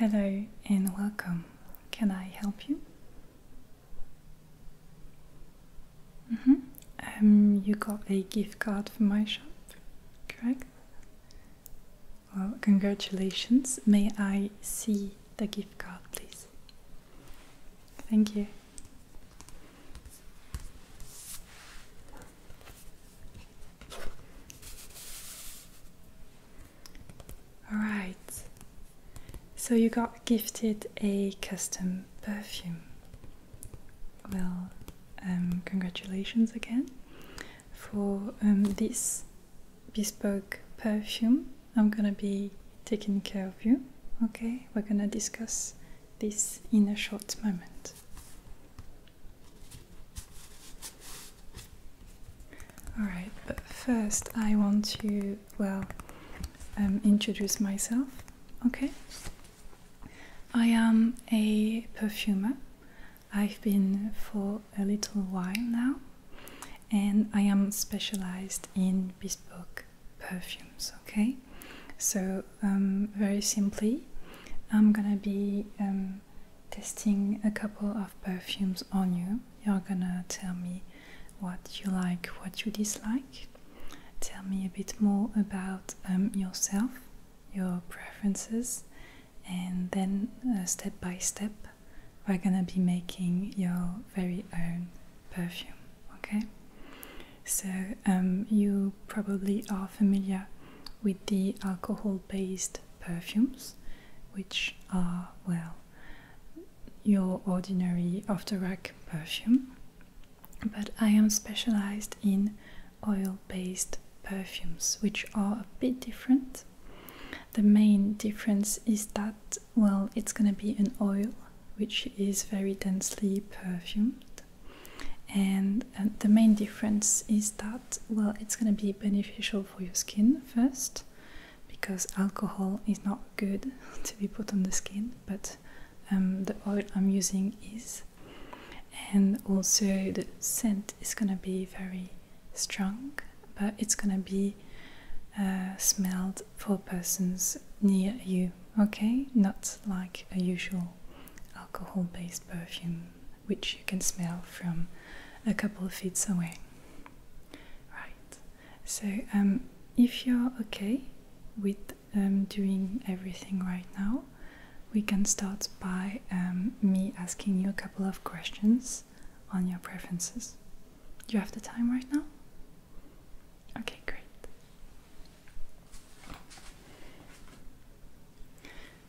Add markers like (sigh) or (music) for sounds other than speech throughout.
Hello and welcome. Can I help you? Mm-hmm. Um, you got a gift card for my shop, correct? Well, congratulations. May I see the gift card, please? Thank you. All right. So you got gifted a custom perfume. Well, um, congratulations again for um, this bespoke perfume. I'm gonna be taking care of you. Okay, we're gonna discuss this in a short moment. Alright, but first I want to, well, um, introduce myself, okay? I am a perfumer. I've been for a little while now, and I am specialized in bespoke perfumes. Okay, so um, very simply, I'm gonna be um, testing a couple of perfumes on you. You're gonna tell me what you like, what you dislike. Tell me a bit more about um, yourself, your preferences, and then uh, step by step, we're gonna be making your very own perfume. Okay, so um, you probably are familiar with the alcohol based perfumes, which are, well, your ordinary after rack perfume, but I am specialized in oil based perfumes, which are a bit different. The main difference is that well, it's gonna be an oil which is very densely perfumed, and uh, the main difference is that, well, it's gonna be beneficial for your skin first because alcohol is not good (laughs) to be put on the skin, but um, the oil I'm using is. And also, the scent is gonna be very strong, but it's gonna be uh, smelled for persons near you, okay? Not like a usual alcohol based perfume which you can smell from a couple of feet away. Right, so um, if you're okay with um, doing everything right now, we can start by um, me asking you a couple of questions on your preferences you have the time right now? Okay, great.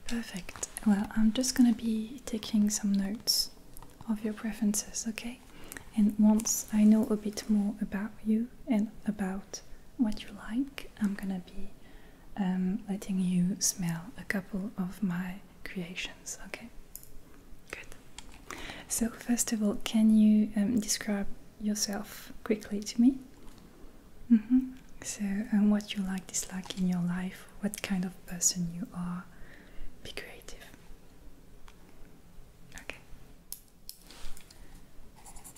Perfect. Well, I'm just gonna be taking some notes of your preferences, okay? And once I know a bit more about you and about what you like, I'm gonna be um, letting you smell a couple of my creations, okay? Good. So, first of all, can you um, describe yourself quickly to me? Mm-hmm. So, um, what you like, dislike in your life, what kind of person you are, be creative. Okay.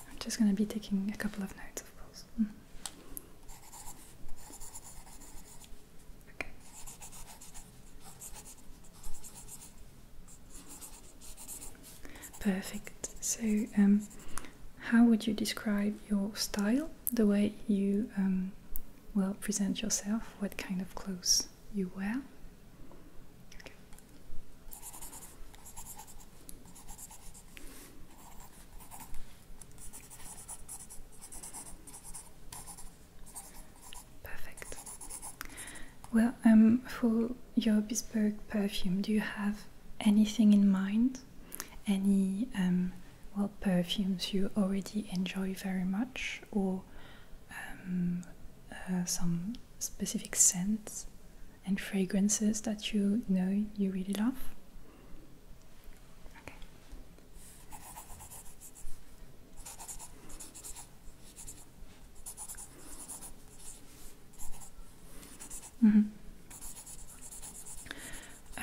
I'm just going to be taking a couple of notes, of course. Mm. Perfect. So, um, how would you describe your style? The way you um, well present yourself? What kind of clothes you wear? Perfect. Well, um, for your bespoke perfume, do you have anything in mind? Any um, well perfumes you already enjoy very much, or um, uh, some specific scents and fragrances that you know you really love? Okay. Mm -hmm.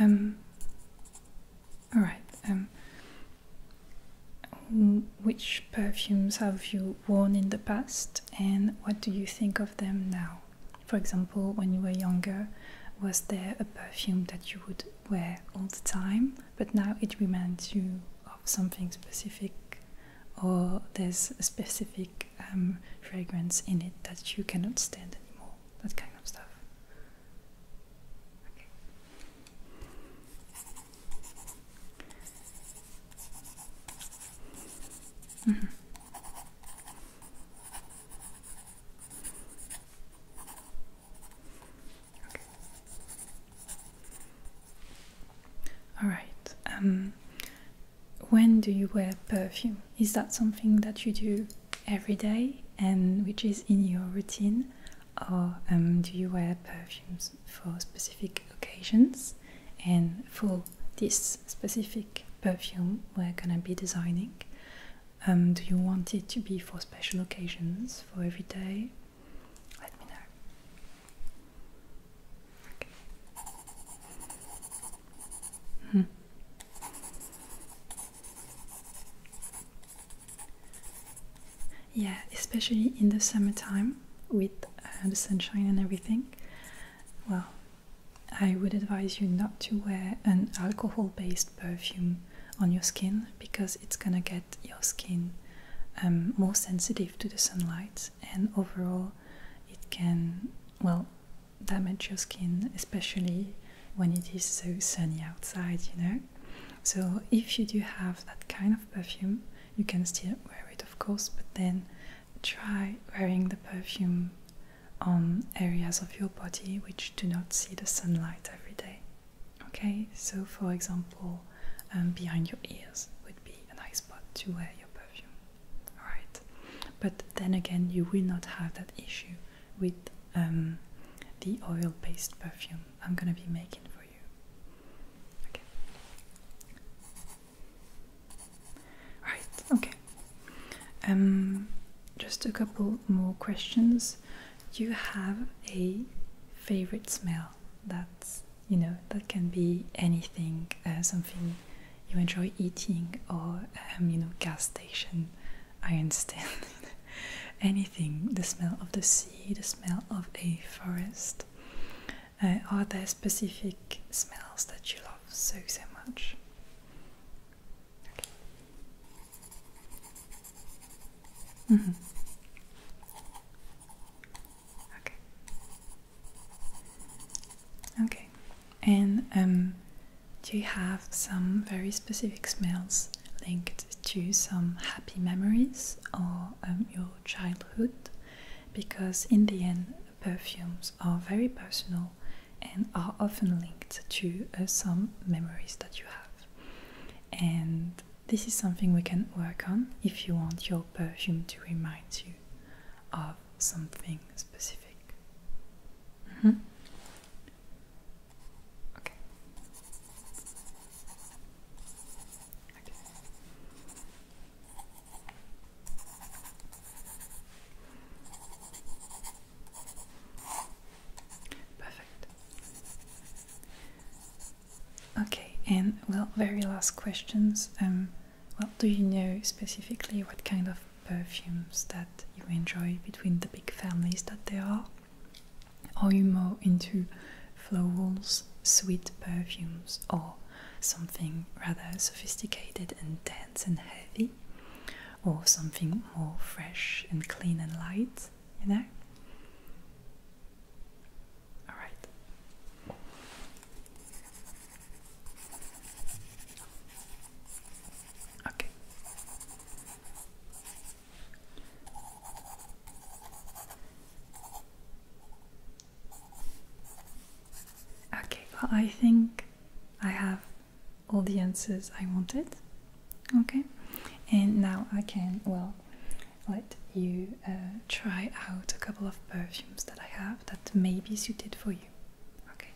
Um. All right. Um. Which perfumes have you worn in the past, and what do you think of them now? For example, when you were younger, was there a perfume that you would wear all the time, but now it reminds you of something specific? or there's a specific um, fragrance in it that you cannot stand anymore. That kind of stuff. Okay. Mm-hmm. All right. Um, when do you wear perfume? Is that something that you do every day and which is in your routine, or um, do you wear perfumes for specific occasions? And for this specific perfume, we're gonna be designing. Um, do you want it to be for special occasions, for every day, let me know. Okay. Hmm. Yeah, especially in the summertime with uh, the sunshine and everything. Well, I would advise you not to wear an alcohol based perfume on your skin because it's gonna get your skin um, more sensitive to the sunlight and overall, it can, well, damage your skin, especially when it is so sunny outside, you know. So, if you do have that kind of perfume, you can still wear it, of course, but then try wearing the perfume on areas of your body which do not see the sunlight every day. Okay, so for example, um, behind your ears would be a nice spot to wear your perfume. Alright, but then again, you will not have that issue with um, the oil based perfume I'm gonna be making for you. Okay. okay. Um, just a couple more questions. you have a favorite smell? well you know that can be anything uh, something you enjoy eating or um, you know gas station I understand (laughs) anything the smell of the sea the smell of a forest uh, are there specific smells that you love so so much mm-hmm. Okay. Okay, and um, you have some very specific smells linked to some happy memories or um, your childhood? Because in the end, perfumes are very personal and are often linked to uh, some memories that you have. And this is something we can work on if you want your perfume to remind you of something specific. Mm -hmm. Okay. Perfect. Okay, and well, very last questions. Um, well, do you know specifically what kind of perfumes that you enjoy between the big families that there are? Are you more into florals, sweet perfumes, or something rather sophisticated and dense and heavy? Or something more fresh and clean and light, you know? All right. Okay. Okay, well, I think I have all the answers I wanted. Okay, and now I can, well, let you uh, try out a couple of perfumes that I have that may be suited for you. Okay.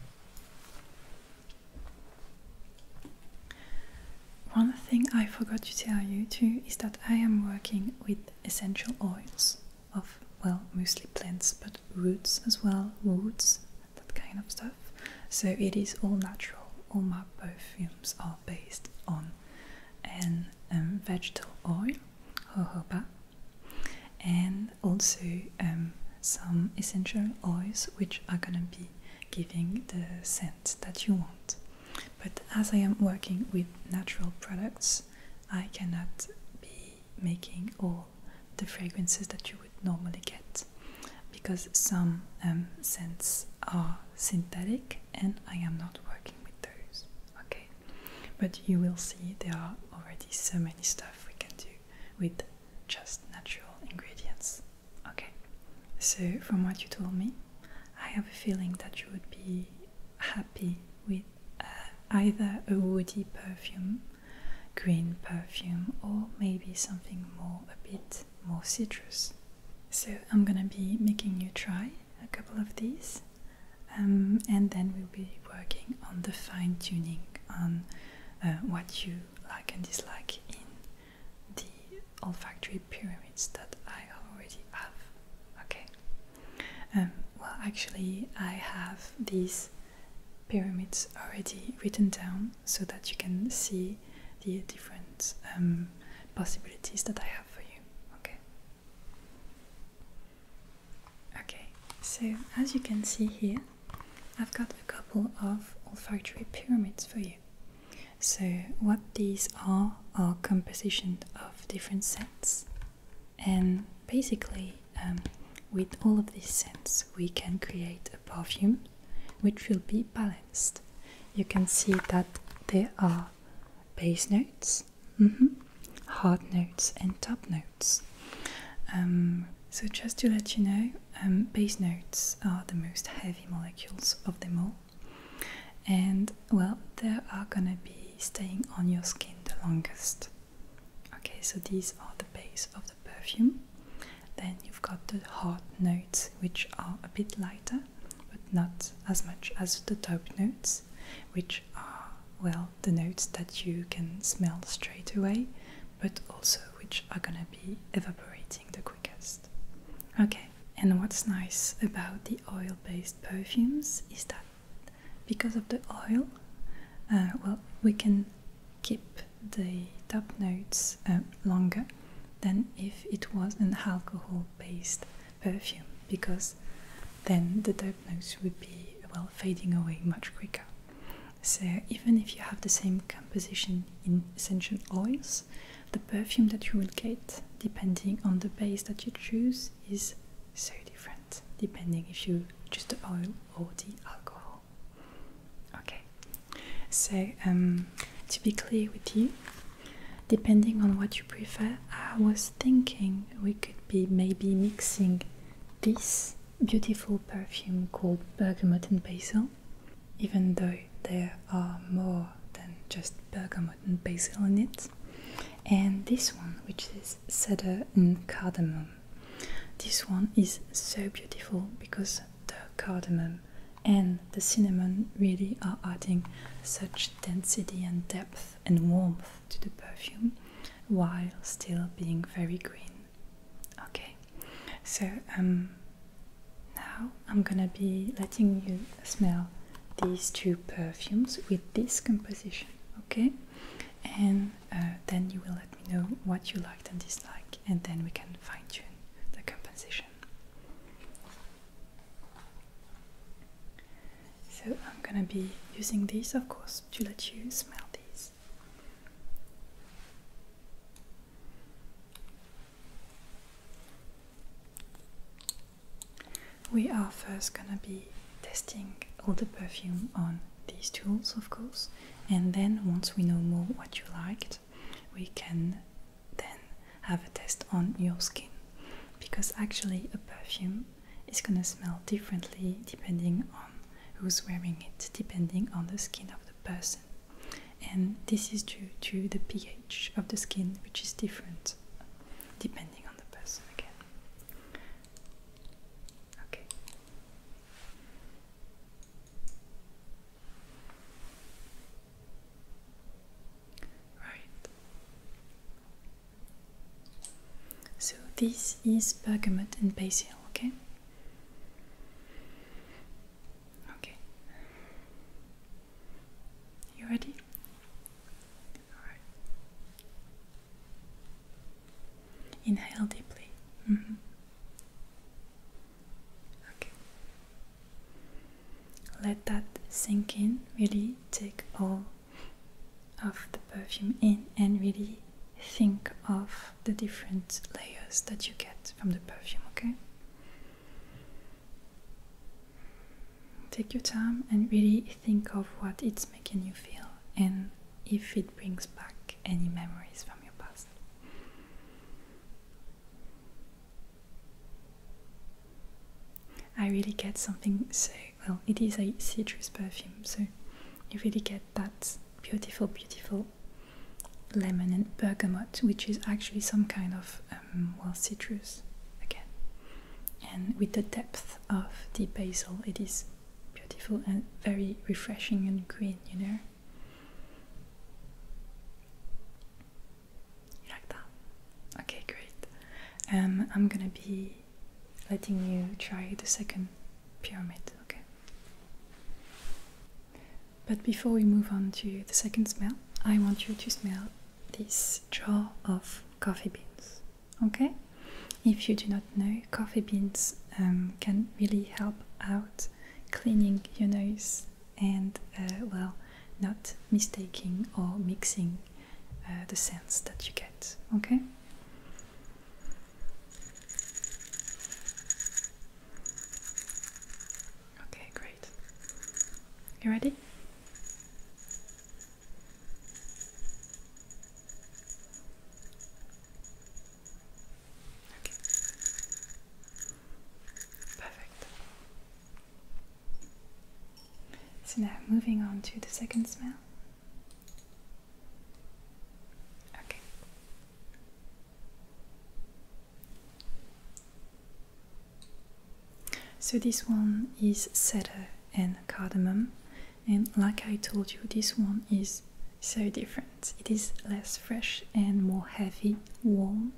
One thing I forgot to tell you too is that I am working with essential oils of, well, mostly plants, but roots as well, woods, that kind of stuff. So it is all natural. All my perfumes are based on an um, vegetable oil, jojoba, and also um, some essential oils which are gonna be giving the scent that you want. But as I am working with natural products, I cannot be making all the fragrances that you would normally get because some um, scents are synthetic and I am not working with those. Okay. But you will see there are already so many stuff we can do with just natural ingredients. Okay, so from what you told me, I have a feeling that you would be happy with uh, either a woody perfume, green perfume, or maybe something more a bit more citrus. So I'm gonna be making you try a couple of these um, and then we'll be working on the fine tuning on uh, what you like and dislike in the olfactory pyramids that I already have. Okay. Um, well, actually, I have these pyramids already written down so that you can see the different um, possibilities that I have for you. Okay. Okay, so as you can see here, I've got a couple of olfactory pyramids for you. So, what these are are composition of different scents, and basically, um, with all of these scents, we can create a perfume which will be balanced. You can see that there are base notes, mm -hmm. hard notes and top notes. Um, so, just to let you know, um, bass notes are the most heavy molecules of them all, and well, they are gonna be staying on your skin the longest. Okay, so these are the base of the perfume. Then you've got the hard notes, which are a bit lighter, but not as much as the top notes, which well, the notes that you can smell straight away, but also which are gonna be evaporating the quickest. Okay, and what's nice about the oil based perfumes is that because of the oil, uh, well, we can keep the top notes um, longer than if it was an alcohol based perfume because then the top notes would be well fading away much quicker. So, even if you have the same composition in essential oils, the perfume that you will get, depending on the base that you choose, is so different, depending if you choose the oil or the alcohol. Okay, so um, to be clear with you, depending on what you prefer, I was thinking we could be maybe mixing this beautiful perfume called bergamot and basil, even though there are more than just bergamot and basil in it, and this one, which is cedar and cardamom. This one is so beautiful because the cardamom and the cinnamon really are adding such density and depth and warmth to the perfume while still being very green. Okay, so um, now I'm gonna be letting you smell these two perfumes with this composition, okay? And uh, then you will let me know what you liked and disliked, and then we can fine tune the composition. So I'm gonna be using these, of course, to let you smell these. We are first gonna be testing all the perfume on these tools, of course, and then once we know more what you liked, we can then have a test on your skin because actually a perfume is gonna smell differently depending on who's wearing it, depending on the skin of the person. And this is due to the pH of the skin, which is different depending on the person again. Okay. Right. So this is bergamot and basil, okay? Okay. You ready? Alright. Inhale deeply. Mm-hmm. Okay. Let that sink in, really take all of the perfume in and really think of the different layers that you get from the perfume, okay? Take your time and really think of what it's making you feel and if it brings back any memories from your past. I really get something so well it is a citrus perfume so you really get that beautiful beautiful lemon and bergamot which is actually some kind of um, well citrus again and with the depth of the basil it is beautiful and very refreshing and green you know you like that okay great um, i'm gonna be letting you try the second pyramid, okay? But before we move on to the second smell, I want you to smell this jar of coffee beans, okay? If you do not know, coffee beans um, can really help out cleaning your nose and, uh, well, not mistaking or mixing uh, the scents that you get, okay? Okay, great. You ready? Okay. Perfect. So now moving on to the second smell. Okay. So this one is cedar and cardamom, and like I told you, this one is so different. It is less fresh and more heavy, warm,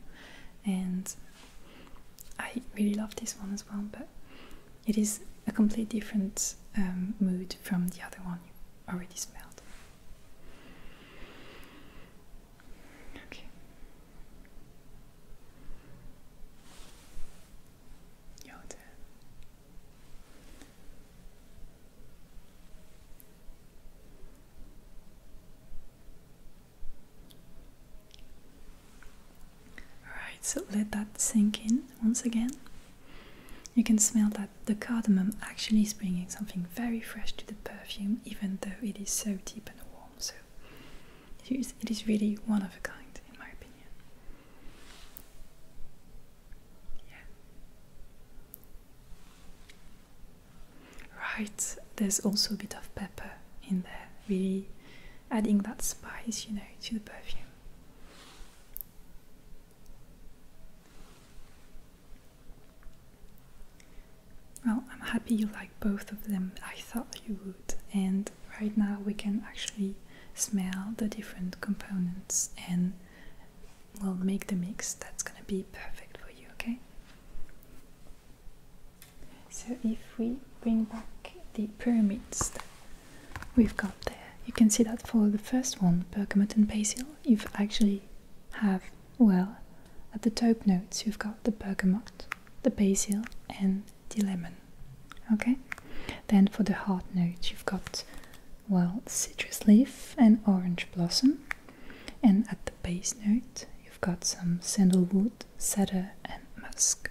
and I really love this one as well. But it is a completely different um, mood from the other one you already smelled. Okay. Your turn. Alright, so let that sink in once again. You can smell that the cardamom actually is bringing something very fresh to the perfume, even though it is so deep and warm. So it is, really one of a kind, in my opinion. Yeah. Right, there's also a bit of pepper in there, really adding that spice, you know, to the perfume. Well, I'm happy you like both of them. I thought you would. And right now we can actually smell the different components and we'll make the mix that's going to be perfect for you, okay? So if we bring back the pyramid stuff we've got there. You can see that for the first one, bergamot and basil, you've actually have, well, at the top notes you've got the bergamot, the basil and the lemon. Okay? Then for the heart notes you've got, well, citrus leaf and orange blossom. And at the base note you've got some sandalwood, cedar and musk.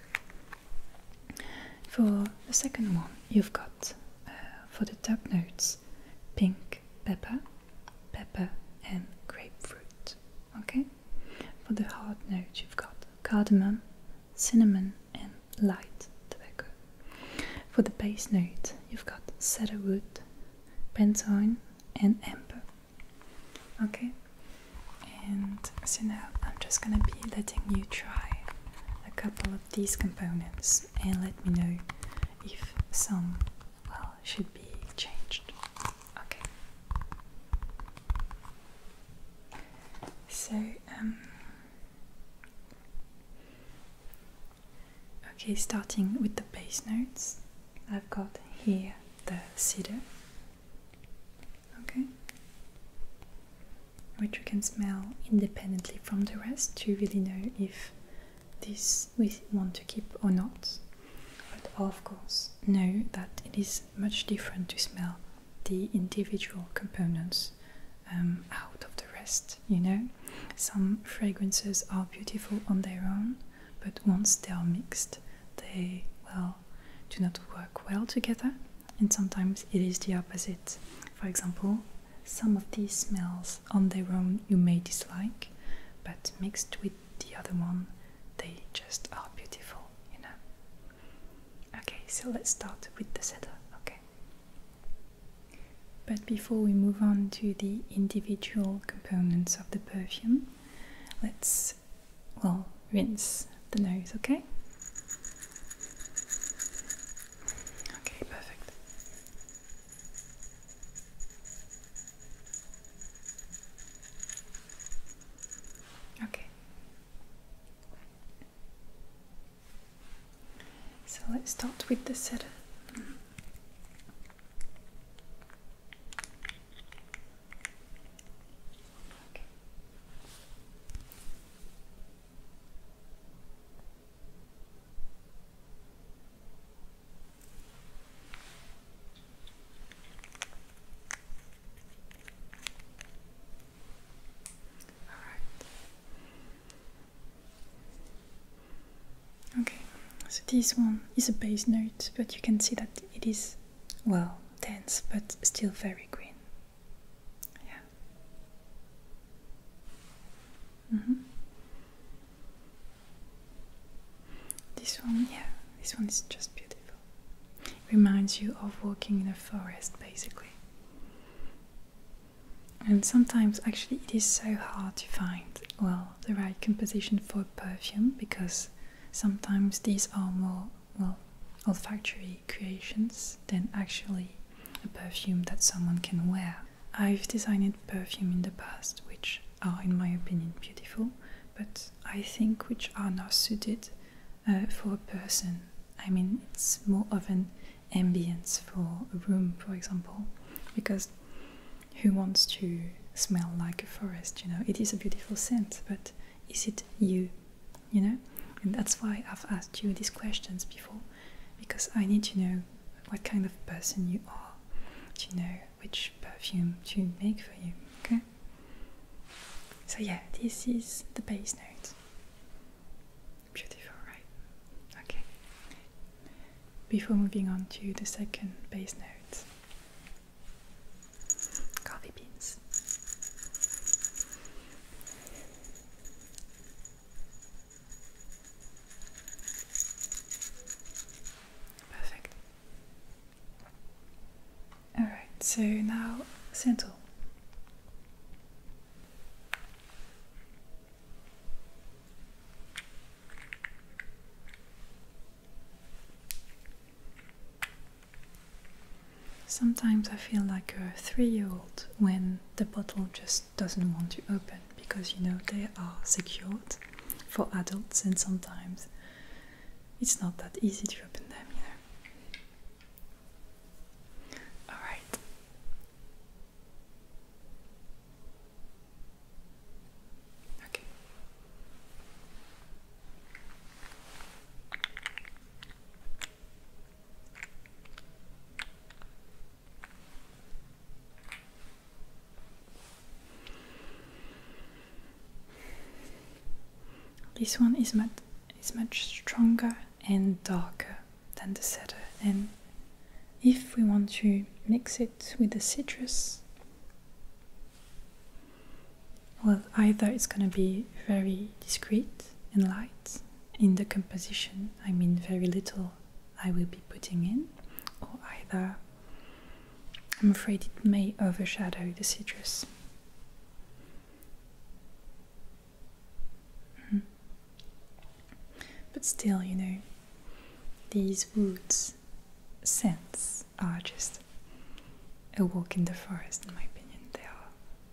For the second one, you've got uh, for the top notes pink pepper, pepper, and grapefruit. Okay? For the heart notes, you've got cardamom, cinnamon, and light tobacco. For the base note, you've got cedarwood, benzoin, and amber. Okay? And so now I'm just gonna be letting you try a couple of these components and let me know if some well should be changed. Okay. So um, Okay, starting with the bass notes. I've got here the cedar. Okay which you can smell independently from the rest to really know if this we want to keep or not. But of course, know that it is much different to smell the individual components um, out of the rest, you know? Some fragrances are beautiful on their own, but once they are mixed, they, well, do not work well together, and sometimes it is the opposite. For example, some of these smells on their own you may dislike, but mixed with the other one, they just are beautiful, you know. Okay, so let's start with the cedar, okay? But before we move on to the individual components of the perfume, let's, well, rinse the nose, okay? Okay, perfect. Okay. So let's start with the setter. Okay, so this one is a bass note, but you can see that it is well dense, but still very green. Yeah. Mm-hmm. This one, yeah, this one is just beautiful. Reminds you of walking in a forest basically. And sometimes actually it is so hard to find well the right composition for perfume because sometimes these are more well olfactory creations than actually a perfume that someone can wear. I've designed perfume in the past which are, in my opinion, beautiful, but I think which are not suited uh, for a person. I mean, it's more of an ambience for a room, for example, because who wants to smell like a forest? You know, it is a beautiful scent, but is it you? You know, and that's why I've asked you these questions before because I need to know what kind of person you are to know which perfume to make for you, okay? So, yeah, this is the bass note. Beautiful, right? Okay. Before moving on to the second bass note, coffee beans. Perfect. All right, so now central. Sometimes I feel like a three year old when the bottle just doesn't want to open because you know they are secured for adults and sometimes it's not that easy to open them either. Alright. Okay. This one is much, is much stronger and darker than the setter, and if we want to mix it with the citrus well either it's going to be very discreet and light in the composition I mean very little I will be putting in, or either I'm afraid it may overshadow the citrus. Hmm. But still, you know, these woods scents are just a walk in the forest, in my opinion. They are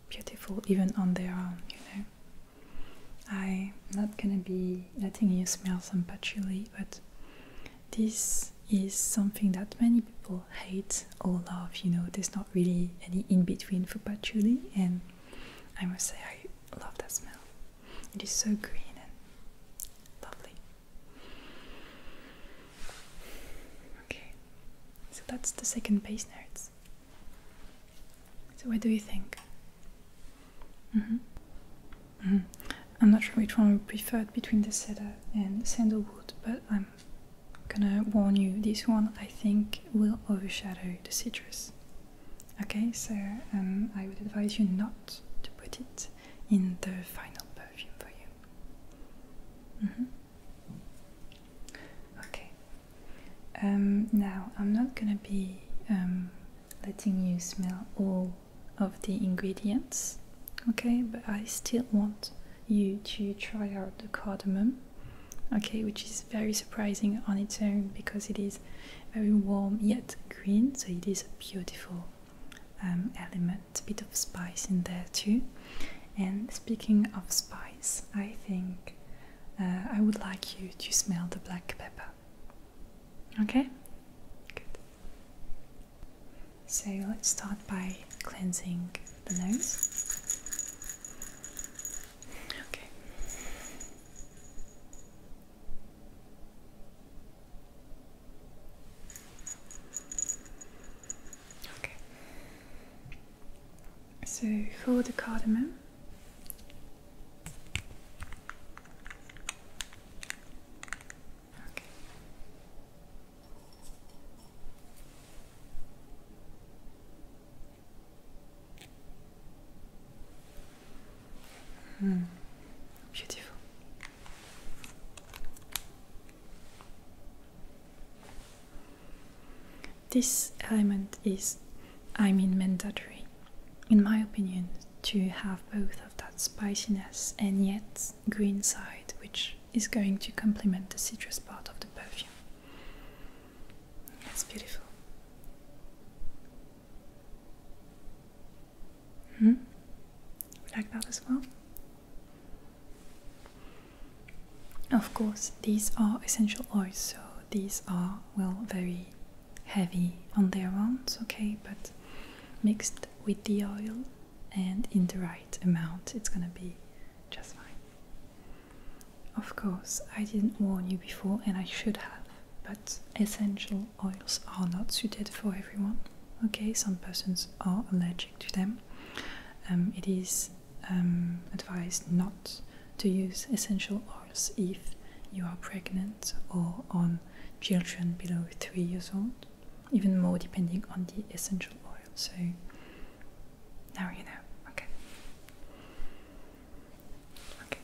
beautiful even on their own, you know. I'm not gonna be letting you smell some patchouli, but this is something that many people hate or love. You know, there's not really any in between for patchouli, and I must say, I love that smell. It is so green and lovely. Okay, so that's the second base notes. So, what do you think? Mm-hmm. Mm-hmm. I'm not sure which one I preferred between the cedar and sandalwood, but I'm gonna warn you this one I think will overshadow the citrus. Okay, so um, I would advise you not to put it in the final perfume for you. Mm-hmm. Okay, um, now, I'm not gonna be um, letting you smell all of the ingredients, okay? But I still want you to try out the cardamom, okay? Which is very surprising on its own because it is very warm yet green, so it is a beautiful um, element, a bit of spice in there too. And speaking of spice, I think uh, I would like you to smell the black pepper. Okay? Good. So let's start by cleansing the nose. Okay. Okay. So for the cardamom, Okay. Hmm. Beautiful. This element is I mean mandatory, in my opinion, to have both of that spiciness and yet green side, which is going to complement the citrus part of the perfume. That's beautiful. Hmm? Like that as well. Of course, these are essential oils, so these are will vary heavy on their ones, okay, but mixed with the oil and in the right amount, it's gonna be just fine. Of course, I didn't warn you before, and I should have, but essential oils are not suited for everyone, okay? Some persons are allergic to them. Um, it is um, advised not to use essential oils if you are pregnant or on children below three years old, even more depending on the essential oil. So now you know. Okay. Okay.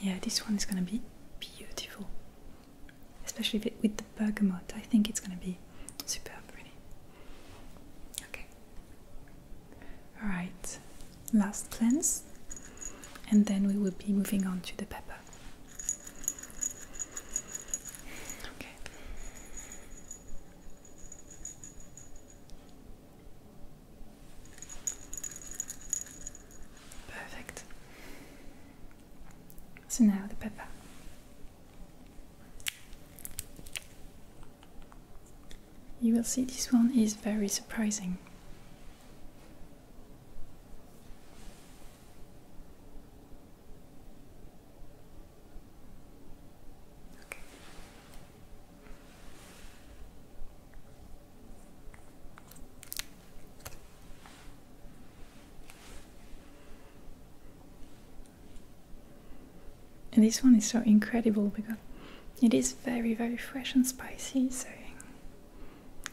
Yeah, this one is gonna be beautiful, especially with the bergamot. I think it's gonna be super pretty. Okay. All right. Last cleanse, and then we will be moving on to the pepper. Okay. Perfect. So now the pepper. You will see this one is very surprising. And this one is so incredible because it is very, very fresh and spicy, so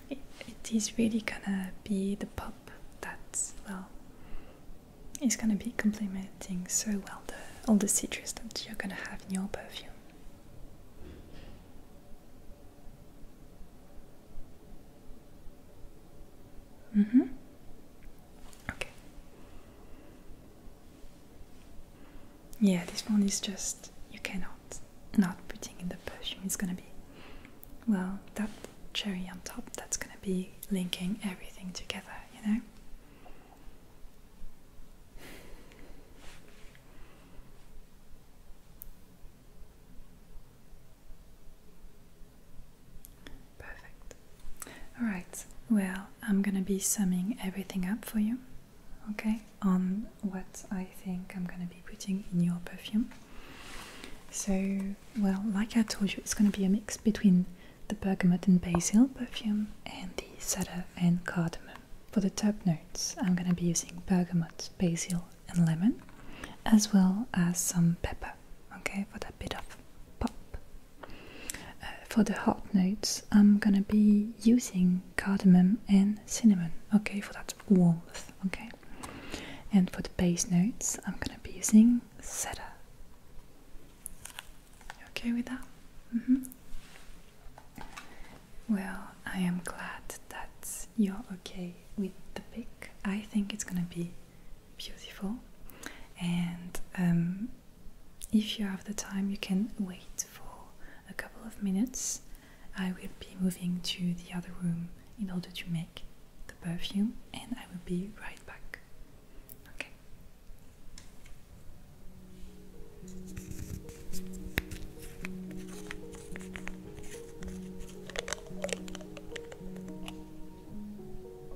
it is really gonna be the pop that, well, is gonna be complementing so well the, all the citrus that you're gonna have in your perfume. Mm-hmm. Okay. Yeah, this one is just you cannot not putting in the perfume. It's gonna be well that cherry on top. That's gonna be linking everything together. You know. Perfect. Alright, well, I'm gonna be summing everything up for you, okay? On what I think I'm gonna be putting in your perfume. So, well, like I told you, it's gonna be a mix between the bergamot and basil perfume and the cedar and cardamom. For the top notes, I'm gonna be using bergamot, basil, and lemon, as well as some pepper okay, for that bit of pop. Uh, for the hot notes, I'm gonna be using cardamom and cinnamon, okay, for that warmth, okay. And for the base notes, I'm gonna be using cedar. You okay with that? Mm -hmm. Well, I am glad that you're okay with the pick. I think it's gonna be beautiful and um, if you have the time you can wait for a couple of minutes I will be moving to the other room in order to make the perfume and I will be right back okay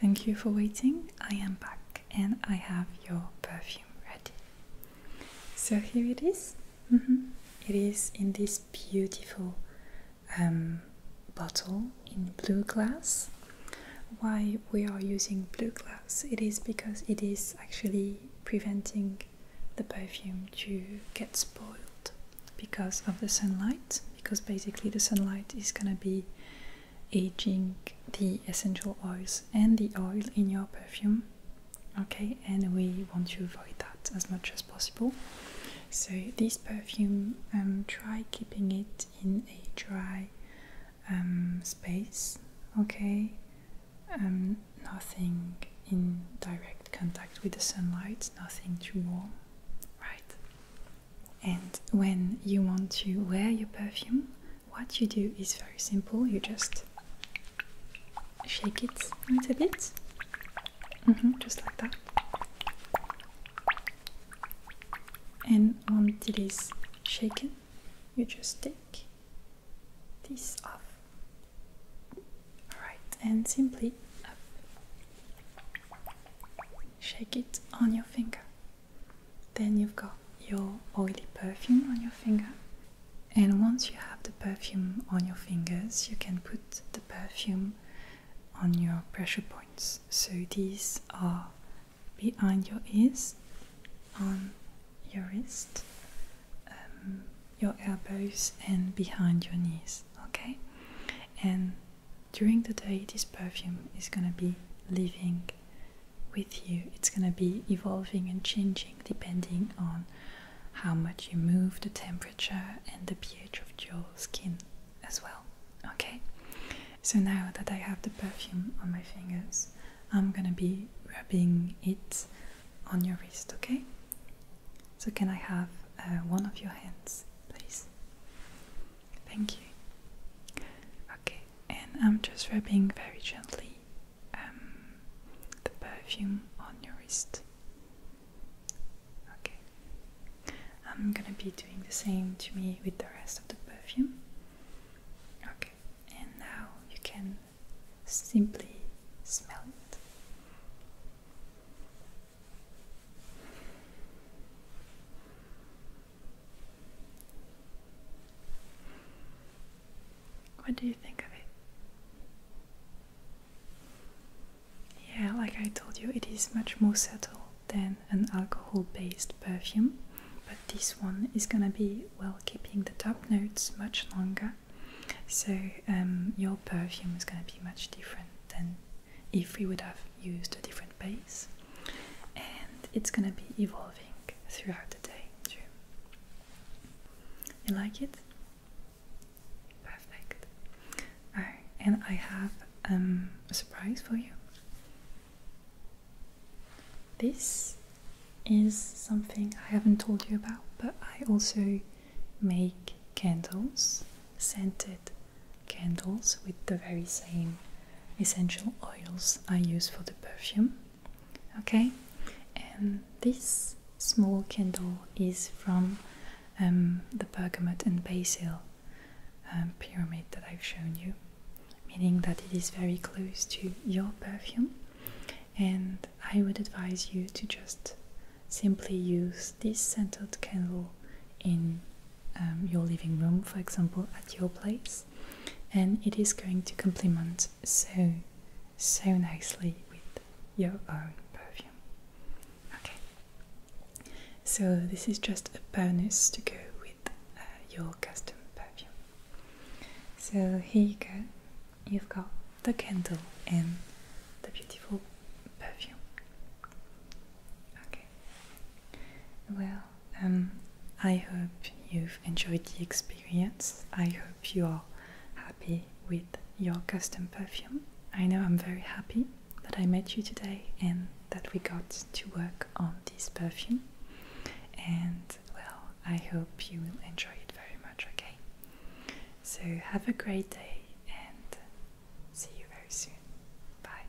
Thank you for waiting. I am back and I have your perfume ready. So here it is. Mm-hmm. It is in this beautiful um, bottle in blue glass. Why we are using blue glass? It is because it is actually preventing the perfume to get spoiled because of the sunlight, because basically the sunlight is going to be aging the essential oils and the oil in your perfume. Okay, and we want to avoid that as much as possible. So this perfume, um, try keeping it in a dry um, space. Okay, um, nothing in direct contact with the sunlight, nothing too warm, right? And when you want to wear your perfume, what you do is very simple you just shake it a little bit, mm-hmm, just like that. And once it is shaken, you just take this off. Alright, and simply Shake it on your finger. Then you've got your oily perfume on your finger. And once you have the perfume on your fingers, you can put the perfume on your pressure points. So these are behind your ears, on your wrist, um, your elbows and behind your knees, okay? And during the day, this perfume is gonna be living with you, it's gonna be evolving and changing depending on how much you move, the temperature, and the pH of your skin as well, okay? So now that I have the perfume on my fingers, I'm gonna be rubbing it on your wrist, okay? So, can I have uh, one of your hands, please? Thank you. Okay, and I'm just rubbing very gently um, the perfume on your wrist. Okay, I'm gonna be doing the same to me with the rest of the perfume. Okay, and now you can Simply smell it. What do you think of it? Yeah, like I told you, it is much more subtle than an alcohol based perfume, but this one is gonna be well keeping the top notes much longer so um, your perfume is going to be much different than if we would have used a different base, and it's going to be evolving throughout the day You like it? Perfect. All right, and I have um, a surprise for you. This is something I haven't told you about, but I also make candles, scented candles with the very same essential oils I use for the perfume. Okay, and this small candle is from um, the bergamot and basil um, pyramid that I've shown you, meaning that it is very close to your perfume. And I would advise you to just simply use this scented candle in um, your living room, for example, at your place, and it is going to complement so so nicely with your own perfume. Okay, so this is just a bonus to go with uh, your custom perfume. So here you go you've got the candle and the beautiful perfume. Okay. Well, um, I hope you've enjoyed the experience. I hope you are happy with your custom perfume. I know I'm very happy that I met you today and that we got to work on this perfume. And well, I hope you will enjoy it very much, okay? So, have a great day and see you very soon. Bye.